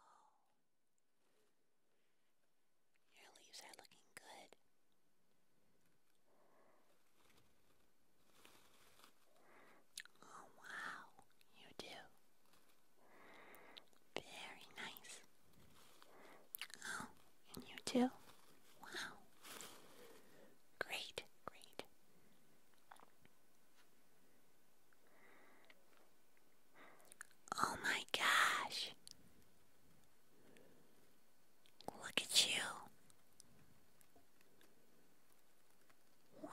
Whoa. Your leaves are looking good. Oh, wow, you do. Very nice. Oh, and you too. Wow. Great, great. Oh my gosh. Look at you. Wow.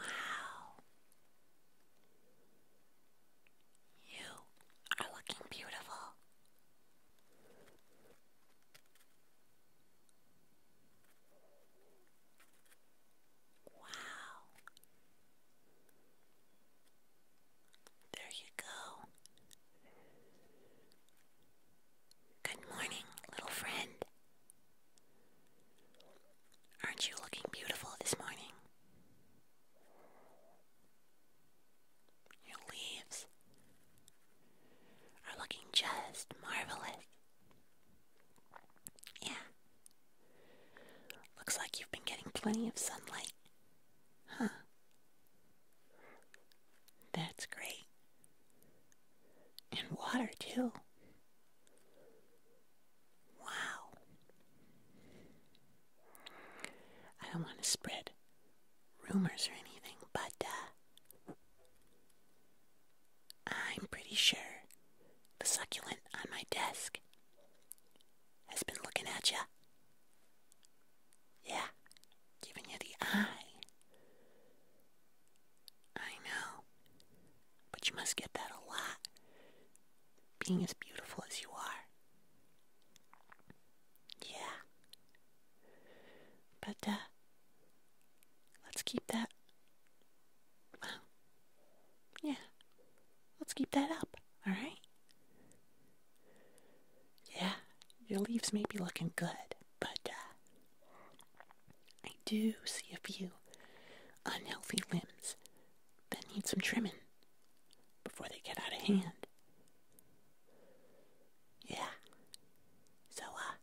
You are looking beautiful. Wow. There you go. Good morning, little friend. Aren't you looking beautiful this morning? Your leaves are looking just marvelous. Yeah. Looks like you've been getting plenty of sunlight. Huh. That's great. And water, too. Wow. I don't want to spread rumors or anything, but, uh, I'm pretty sure the succulent on my desk has been looking at you. Yeah, giving you the eye. I know, but you must get that a lot, being as beautiful as you are. Yeah. But, uh, let's keep that Wow. Yeah. Let's keep that up, alright? Yeah, your leaves may be looking good, but uh, I do see a few unhealthy limbs that need some trimming before they get out of hand. Yeah. So, uh,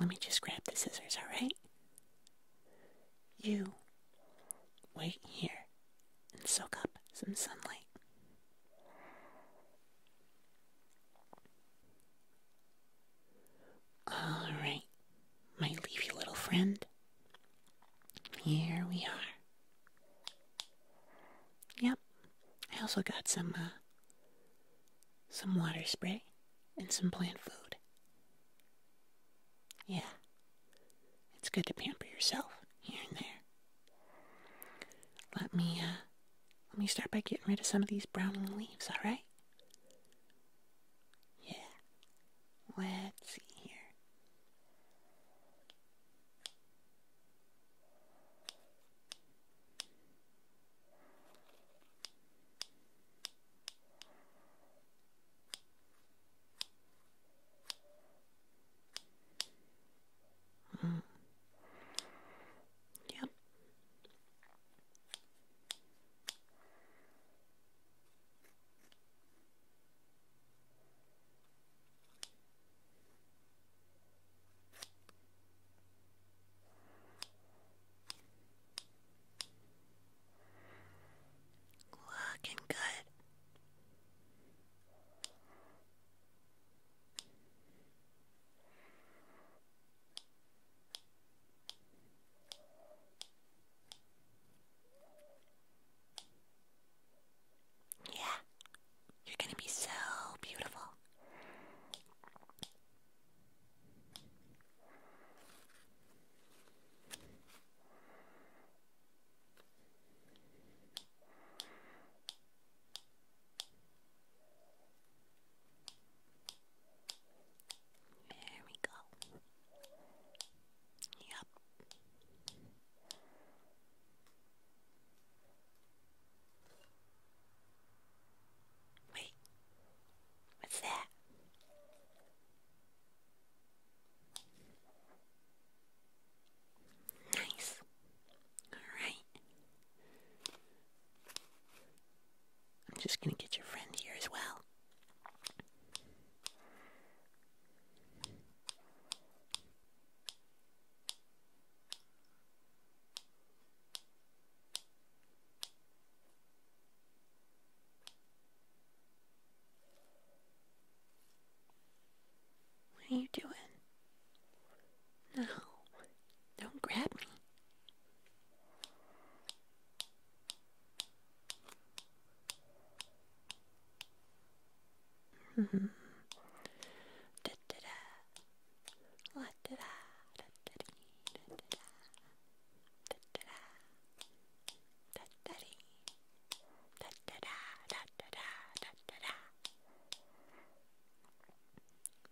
let me just grab the scissors, alright? You wait here and soak up some sunlight. All right, my leafy little friend. Here we are. Yep, I also got some uh, some water spray and some plant food. Yeah, it's good to pamper yourself here and there. Let me, uh, let me start by getting rid of some of these browning leaves, alright? Yeah. Let's see here. Mm. Yep. Looking good. Yeah, you're gonna be so beautiful. There we go. Yep. Wait, what's that? Nice. Alright. I'm just going to get your friend here as well. What are you doing? No, don't grab me. hmm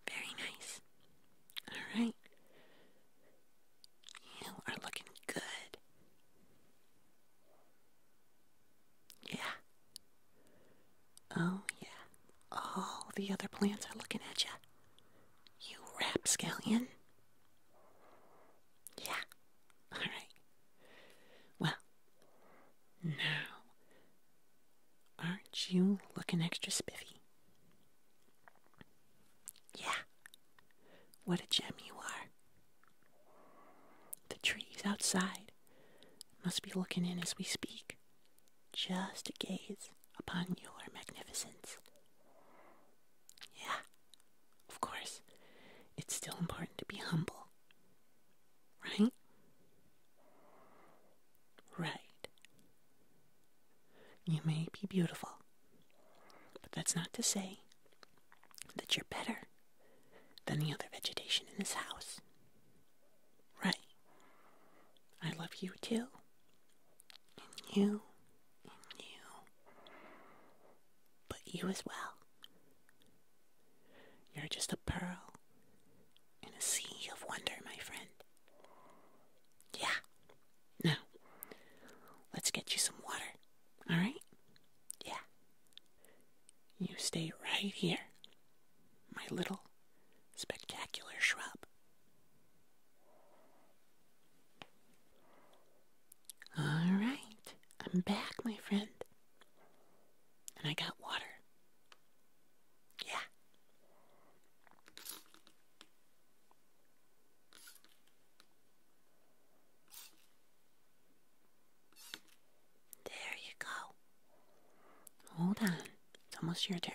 very nice. Alright. You are looking good. Yeah. Oh, yeah. All the other plants are looking at you. You rapscallion. Yeah. All right. Well, now, aren't you looking extra spiffy? Yeah. What a gem you are. The trees outside must be looking in as we speak, just to gaze upon your magnificence. Yeah, of course. It's still important to be humble. Right? Right. You may be beautiful, but that's not to say that you're better than the other vegetation in this house. Right. I love you too and you, and you, but you as well. You're just a pearl in a sea of wonder, my friend. Yeah. Now, let's get you some water, alright? Yeah. You stay right here, my little spectacular shrub. All right, I'm back, my friend. And I got water. Yeah. There you go. Hold on. It's almost your turn.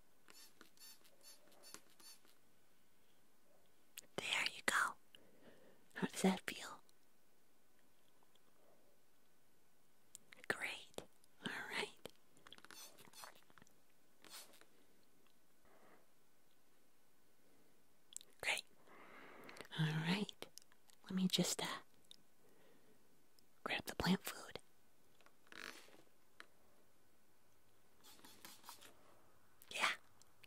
There you go. How does that feel? Great. All right. Great. All right. Let me just uh, grab the plant food. Yeah,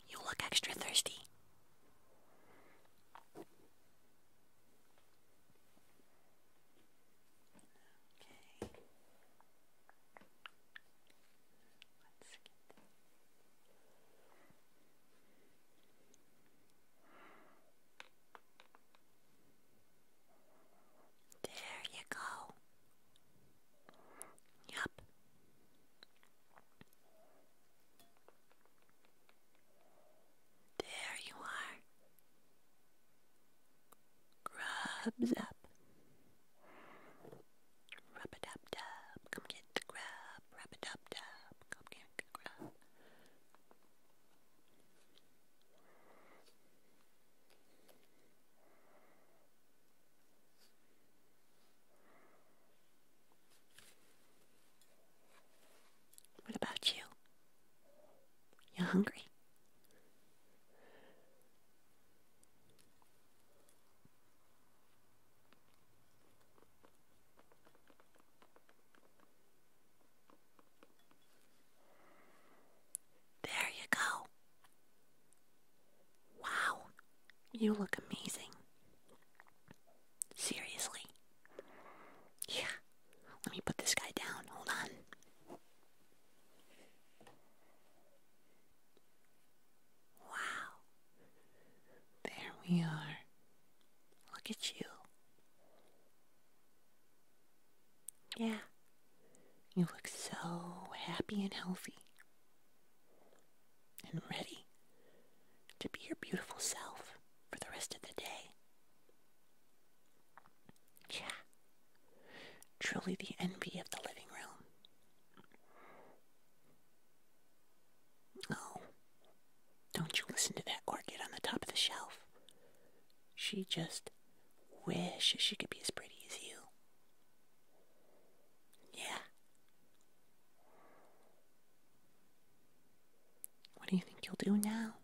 you look extra thirsty. Okay. Let's get there you go. Yep. There you are. Grubs up. Rub a dub dub. Come get the grub. Rub a dub dub. Come get the grub. What about you? You hungry? There you go. Wow, you look amazing. Seriously. let me put this guy down. Hold on. Wow. There we are. Look at you. Yeah, you look so happy and healthy and ready to be your beautiful self for the rest of the day. Yeah, truly the envy of the living room. Oh, don't you listen to that orchid on the top of the shelf. She just wishes she could be as pretty as you. Yeah. What do you think you'll do now?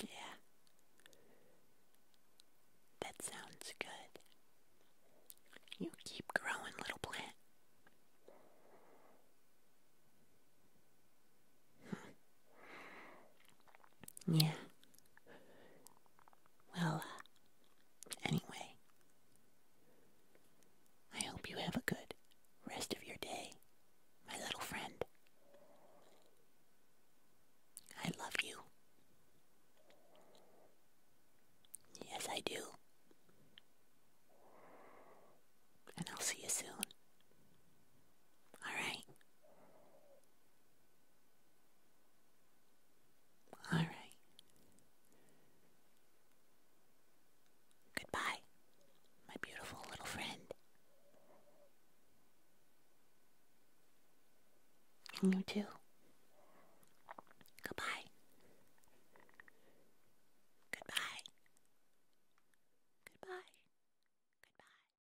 Yeah. That sounds good. You keep growing, little plant. Hmm. Yeah. Well, uh, anyway, I hope you have a good rest of your day, my little friend. I love you. Yes, I do. And I'll see you soon. All right. All right. Goodbye, my beautiful little friend. you too. Goodbye. Goodbye. Goodbye. Goodbye.